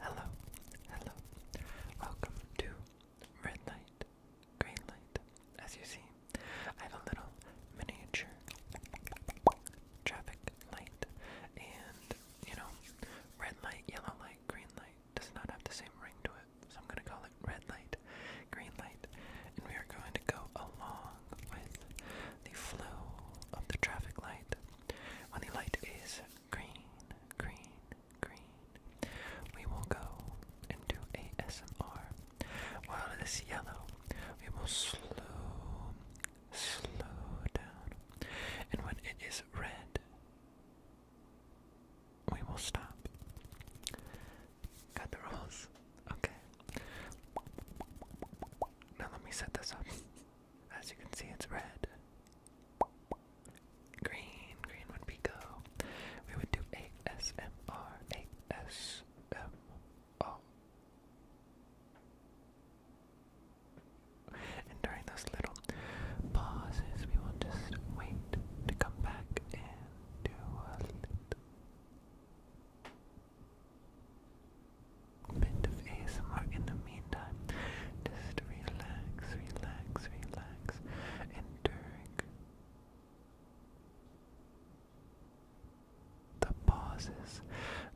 Hello, hello. Welcome to Red Light, Green Light. As you see, I have a little miniature traffic light, and you know, red light, yellow light, green light does not have the same ring to it, so I'm gonna call it red light, green light, and we are going to go along with the flow of the traffic light when the light is green, green, green, we will go into do ASMR. While it is yellow, we will slow, slow down. And when it is red, we will stop. Got the rules? Okay. Now let me set this up. As you can see, it's red. Green, green would be go. We would do ASMR, And during those little pauses, we will just wait to come back and do a little bit of ASMR in the meantime. Just relax, relax, relax, and during the pauses,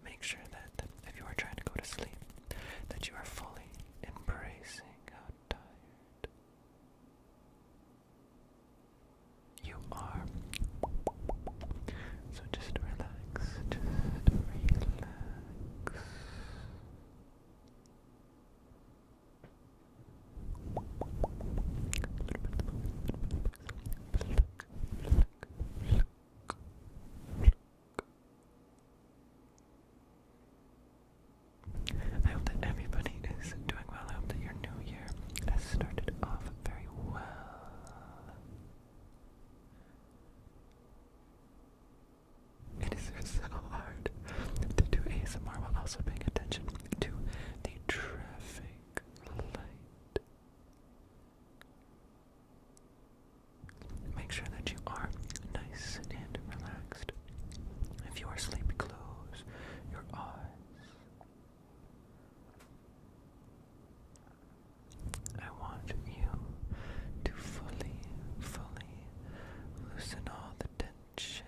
make sure that if you are trying to go to sleep, that you are fully embracing how tired you are. So just relax, just relax. I hope that everybody is doing well. I hope that your new year has started off very well. It is so hard to do ASMR while also paying attention to the traffic light. Make sure that you are nice and relaxed. If you are sleepy, close your eyes. I want you to fully, fully loosen all the tension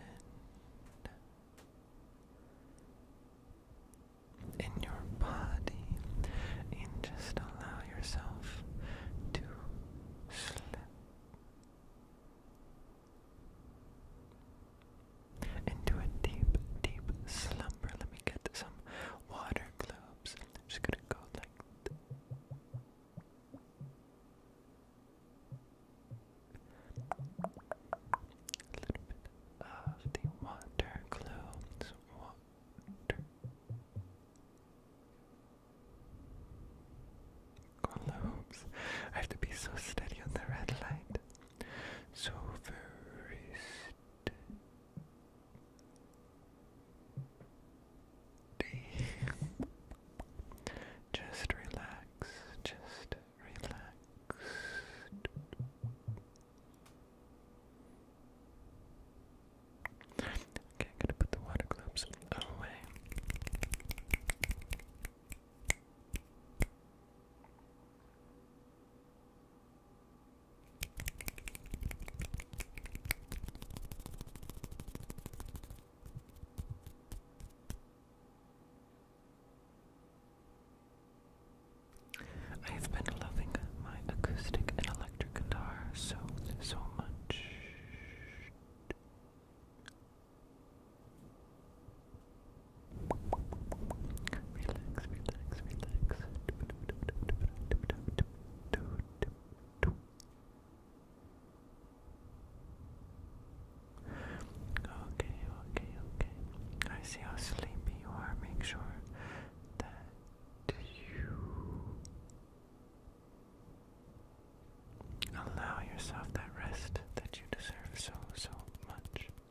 in your body and just allow yourself to slip. Into a deep, deep slumber. Let me get some water globes. I'm just gonna go like a little bit of the water globes. Water globes. I have to be so steady on the red light. So very just relax. Just relax. Okay, gonna put the water globes away. I have been loving my acoustic and electric guitar so, so much. Relax, relax, relax. Okay, okay, okay. I see how sleepy you are. Make sure that you allow yourself that rest that you deserve so, so much.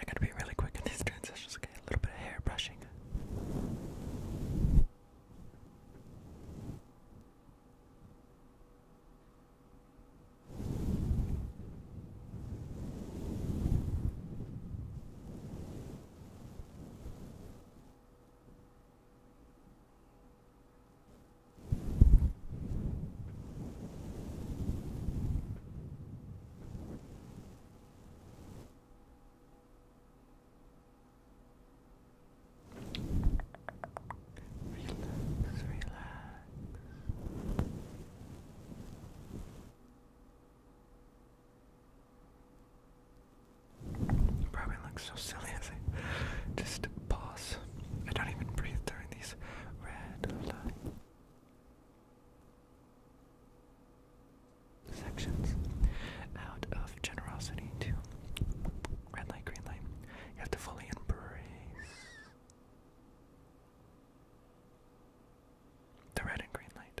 I gotta be really quick in these transitions, okay? A little bit of hair brushing. Relax, relax. probably looks so silly just pause. I don't even breathe during these red light sections out of generosity to red light, green light. You have to fully embrace the red and green light.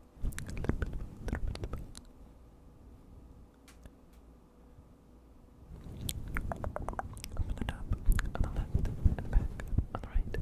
A little bit, a little bit, a little bit. Up on the top, on the left, and the back, on the right. Good.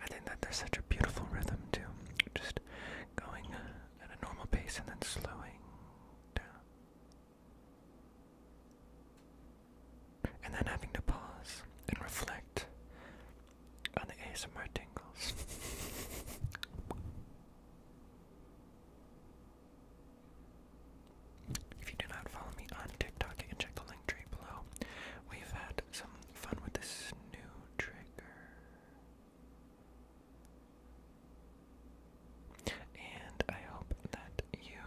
I think that there's such a beautiful rhythm too, just going at a normal pace and then slowing down, and then having to pause and reflect on the of my tingles. If you do not follow me on TikTok, you can check the link tree below. We've had some fun with this new trigger. And I hope that you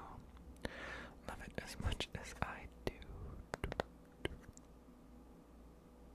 love it as much as I do.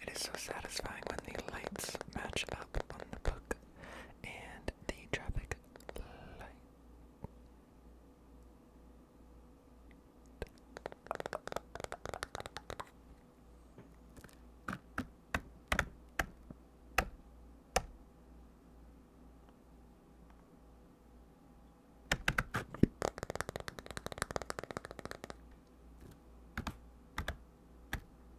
It is so satisfying when the lights match up on the book and the traffic light.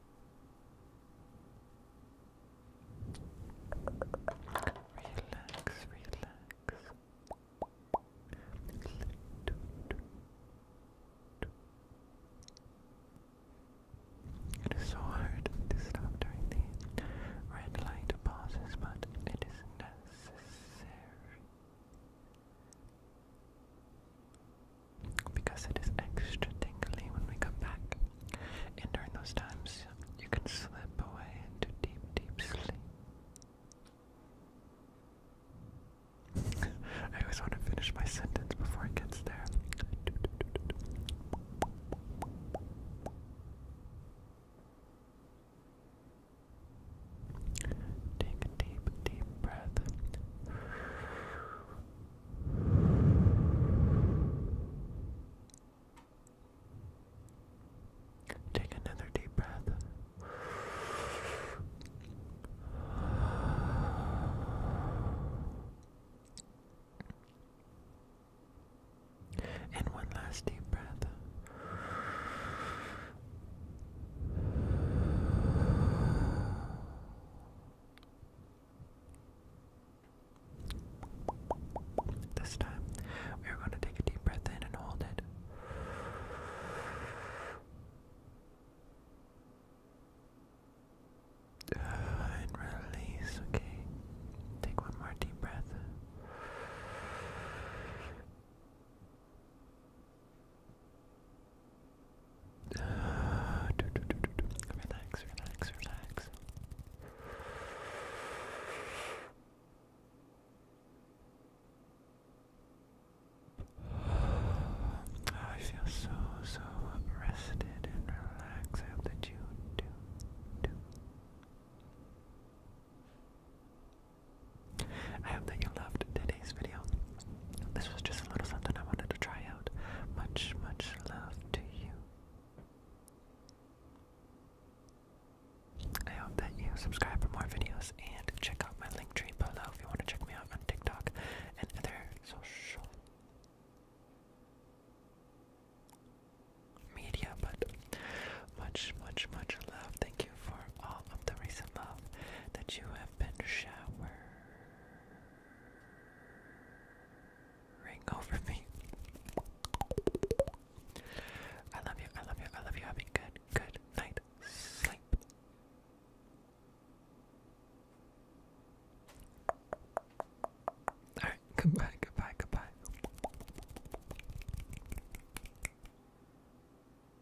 Relax, relax. It is so hard to stop during the red light pauses, but it is necessary because it is extra tingly when we come back. And during those times, you can slip away into deep, deep sleep. I always want to finish my sentence before it gets there. Take a deep, deep breath. Take another deep breath. And one last deep breath. This time, we are going to take a deep breath in and hold it. Uh, and release, okay. Take one more deep breath. Relax, relax, relax. I feel so, so rested and relaxed. I you do, do. I hope that you loved today's video. This was just a little something I wanted to try out. Much, much love to you. I hope that you subscribe for more videos and check out my link tree below if you want to check me out on TikTok and other social media. But much, much, much love. Thank you for all of the recent love that you have been showering over me. I love you, I love you, I love you. Having good, good night sleep. Alright, goodbye, goodbye, goodbye.